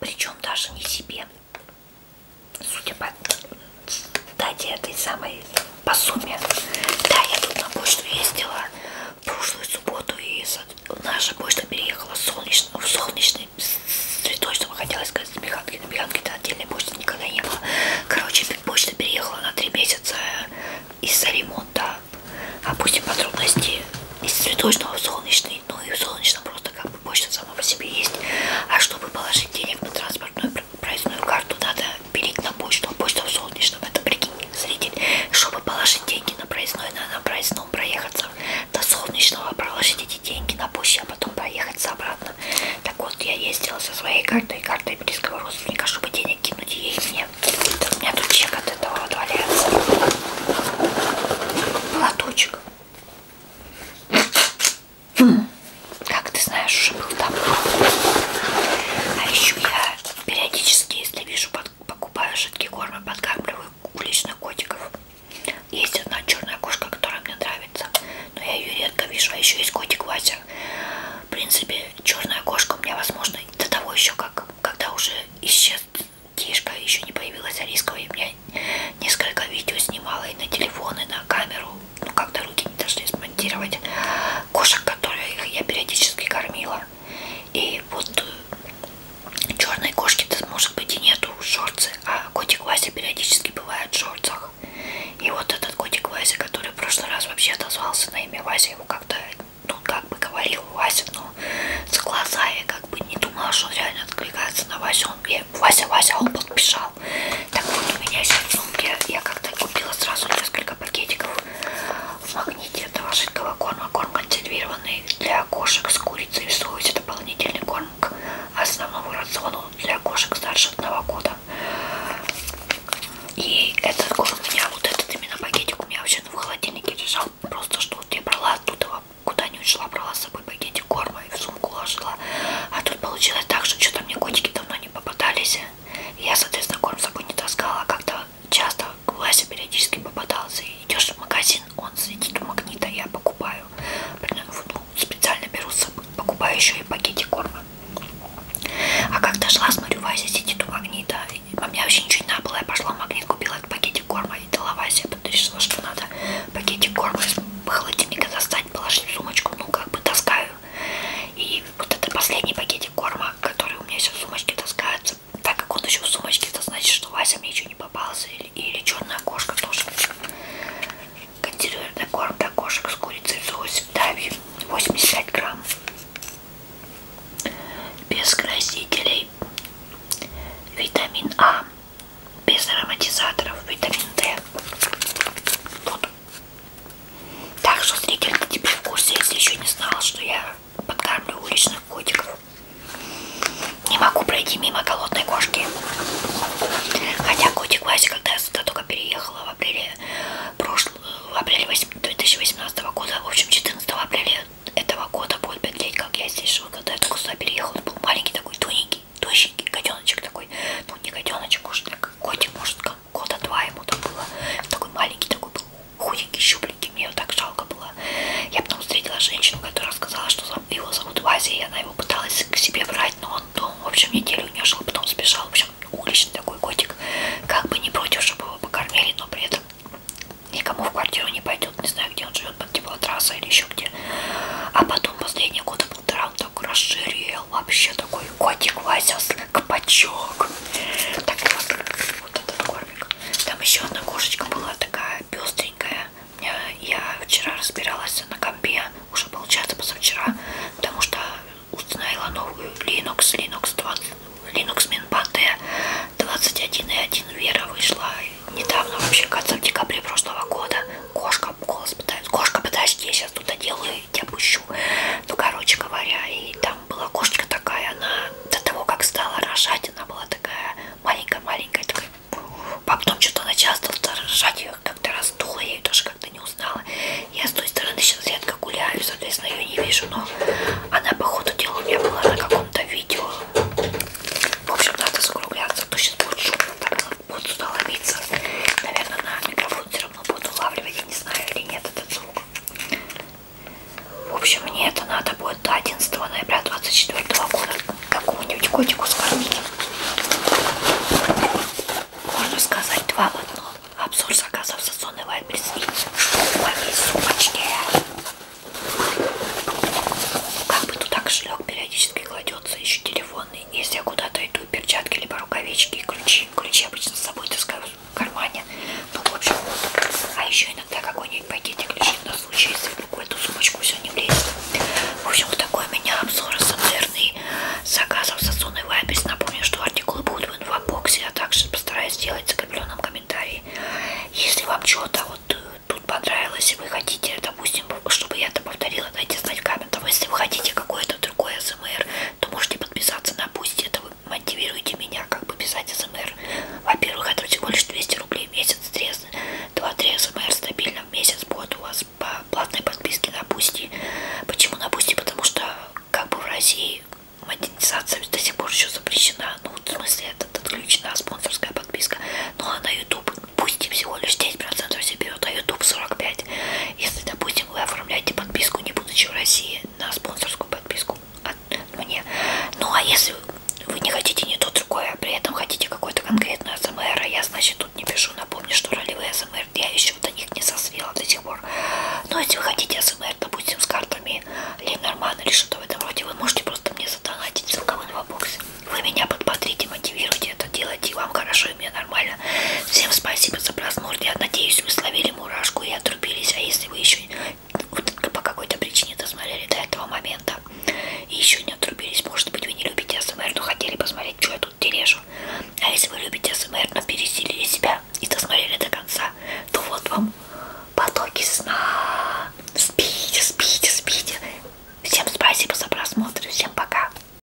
Причем даже не себе, Судя по дате этой самой по сумме. Да, я тут на почту ездила в прошлую субботу и наша почта переехала в солнечный, в солнечный с цветочным, хотелось сказать, с Миханки. На Миханке-то отдельной почты никогда не было. Короче, почта переехала на 3 месяца из-за ремонта. Опустим подробности из цветочного в солнечный, ну и в солнечном просто как бы почта сама по себе есть. А чтобы положить денег на транспортную проездную карту надо пилить на почту, а почта в солнечном, это прикинь, зритель. Чтобы положить деньги на проездной, надо на проездном проехаться до солнечного, проложить эти деньги на почте, а потом проехаться обратно. Так вот, я ездила со своей картой, картой близкого родственника, чтобы денег кинуть ей мне. У меня тут чек от этого вот валяется. Платочек. Как ты знаешь, уже был там. А еще я периодически, если вижу, под, покупаю жидкие кормы, подкармливаю уличных котиков. Есть одна черная кошка, которая мне нравится, но я ее редко вижу. А еще есть котик Вася. В принципе, черная кошка у меня, возможно, до того еще, как когда уже исчез Тишка, еще не появилась Арискова, и у меня несколько видео снимала и на телефон, и на камеру ну как-то руки не должны смонтировать кошек, которых я периодически кормила. И вот э, черной кошки-то может быть и нету шорцы, а котик Вася периодически бывает в шорцах. И вот этот котик Вася, который в прошлый раз вообще отозвался на имя Вася, его как-то, ну как бы говорил Вася, но с глаза я как бы не думала, что он реально откликается на Васю. Он, я, Вася, Вася, он подписал сказал. Так вот, у меня еще в сумке, я как-то купила сразу несколько пакетиков в магните. Это ложитковый корм, корм консервированный для кошек с курицей в соусе. Дополнительный корм к основному рациону для кошек старше одного года. И этот корм у меня, вот этот именно пакетик у меня вообще в холодильнике лежал. Просто что вот я брала оттуда, куда не ушла, брала с собой пакетик корма и в сумку ложила. А тут получилось так, что что-то мне котики давно не попадались. Я, соответственно, корм с собой не таскала, а как-то часто Вася периодически попадался. Идешь в магазин, он сидит у магнита, я покупаю. Ну, специально беру с собой, покупаю еще и пакетик корма. А как дошла, смотрю, Вася сидит у магнита. У меня вообще ничего не надо было. Я пошла в магнит, купила этот пакетик корма и дала Васе. Я потом решила, что надо пакетик корма из холодильника достать, положить в сумочку. Ну, как бы таскаю и вот это последний пакетик корма, который у меня еще в сумочке таскается. Так как он еще в сумочке, это значит, что Вася мне еще не попался. Или, или черная кошка тоже. Консервированный корм для кошек с курицей в соусе Дави 85 грамм. Без красителей. Витамин А. Без ароматизаторов. Витамин Д. Вот так что, зритель, ты теперь в курсе, если еще не знала, что я подкармливаю уличных котиков. Не могу пройти мимо голодной кошки. Хотя котик Вася, когда я сюда только переехала в апреле, прошл... в апреле 2018 года, в общем, 14 апреля этого года будет 5 лет, как я здесь живу, когда я только сюда переехала, он был маленький такой, тоненький маленький, тощенький котеночек такой, ну не котеночек, уж так котик, может, года два ему там было, такой маленький, такой был худенький, щупленький, мне его так жалко было. Я потом встретила женщину, которая сказала, что его зовут Вася, и она его пыталась к себе брать, но он, ну, в общем, неделю не шел, потом сбежал, в общем, уличный такой котик, как бы не против, чтобы его покормили, но при этом никому в квартиру не пойдет, не знаю, где он живет, под теплотрасса или еще где. А потом последние годы утром так расширел. Вообще такой котик Вася копачок. Так вот, вот этот кормик. Там еще одна кошечка была такая пестренькая. Я вчера разбиралась на компе, уже получается позавчера, потому что установила новую Linux, Linux 20, Linux Minpate 21.1 Вера вышла недавно, вообще, кажется, в декабре прошлого года. Кошка кошка голос пытается. Кошка, подожди, я сейчас тут доделаю и тебя пущу. Ну, короче говоря, и там была кошечка такая, она до того, как стала рожать, она была такая маленькая-маленькая, такая. А потом что-то она часто стала рожать, ее как-то раздула, я ее даже как-то не узнала. Я с той стороны сейчас редко гуляю, соответственно, ее не вижу, но она, по ходу дела, у меня была на каком-то видео. В общем, надо закругляться, а то сейчас будет шумно так буду сюда ломиться. Наверное, на микрофон все равно буду улавливать. Я не знаю или нет этот звук. В общем, мне это надо будет до 11 ноября 24 года какому-нибудь котику скормить. Можно сказать, два в одно. Обзор заказов Сазон и Вайберс и шпука весь сумочнее. Как бы туда кошелек периодически кладется, еще телефон ванной. Если я куда-то иду, перчатки, либо рукавички и ключи. Ключи обычно с собой таскаю в кармане. Ну, в общем, а еще иногда какой-нибудь пакетик лежит на случай, если вдруг в эту сумочку все не влезет. В общем, вот такой у меня обзор ассамблерный заказов Сосуны Вайбис. Напомню, что артикулы будут в инфобоксе, а также постараюсь сделать в закрепленном комментарии. Если вам что-то вот э, тут понравилось, и вы хотите, допустим, чтобы я это повторила, дайте знать в комментах. Если вы хотите какое-то другое СМР, то можете подписаться на пусть это вы мотивируете меня как бы писать СМР. Во-первых, это всего лишь 200 рублей в месяц, 2-3 СМР стабильно в месяц будет у вас по платной подписке на Пусти. Почему на Пусти? Потому что как бы в России монетизация до сих пор еще запрещена. Ну, в смысле, это отключена спонсорская подписка. Ну, а на YouTube пусть всего лишь 10% все берет, а YouTube 45%. Если, допустим, вы оформляете подписку, не будучи в России, на спонсорскую подписку от мне. Ну, а если вы не хотите ни то, другое, а при этом хотите какой-то конкретный АСМР, а я, значит, тут не пишу. Напомню, что ролевые АСМР я еще до них не созрела до сих пор. Но ну, а если вы хотите АСМР, допустим, с картами Ленормана или что-то в этом роде, вы можете просто мне задонатить в ссылка в инфобоксе. Вы меня подпотрите, мотивируйте это делать, и вам хорошо слушаю меня нормально. Всем спасибо за просмотр. Я надеюсь, вы словили мурашку и отрубились. А если вы еще вот, по какой-то причине досмотрели до этого момента и еще не отрубились, может быть, вы не любите СМР, но хотели посмотреть, что я тут тережу. А если вы любите СМР, но пересилили себя и досмотрели до конца, то вот вам потоки сна. Спите, спите, спите. Всем спасибо за просмотр. Всем пока.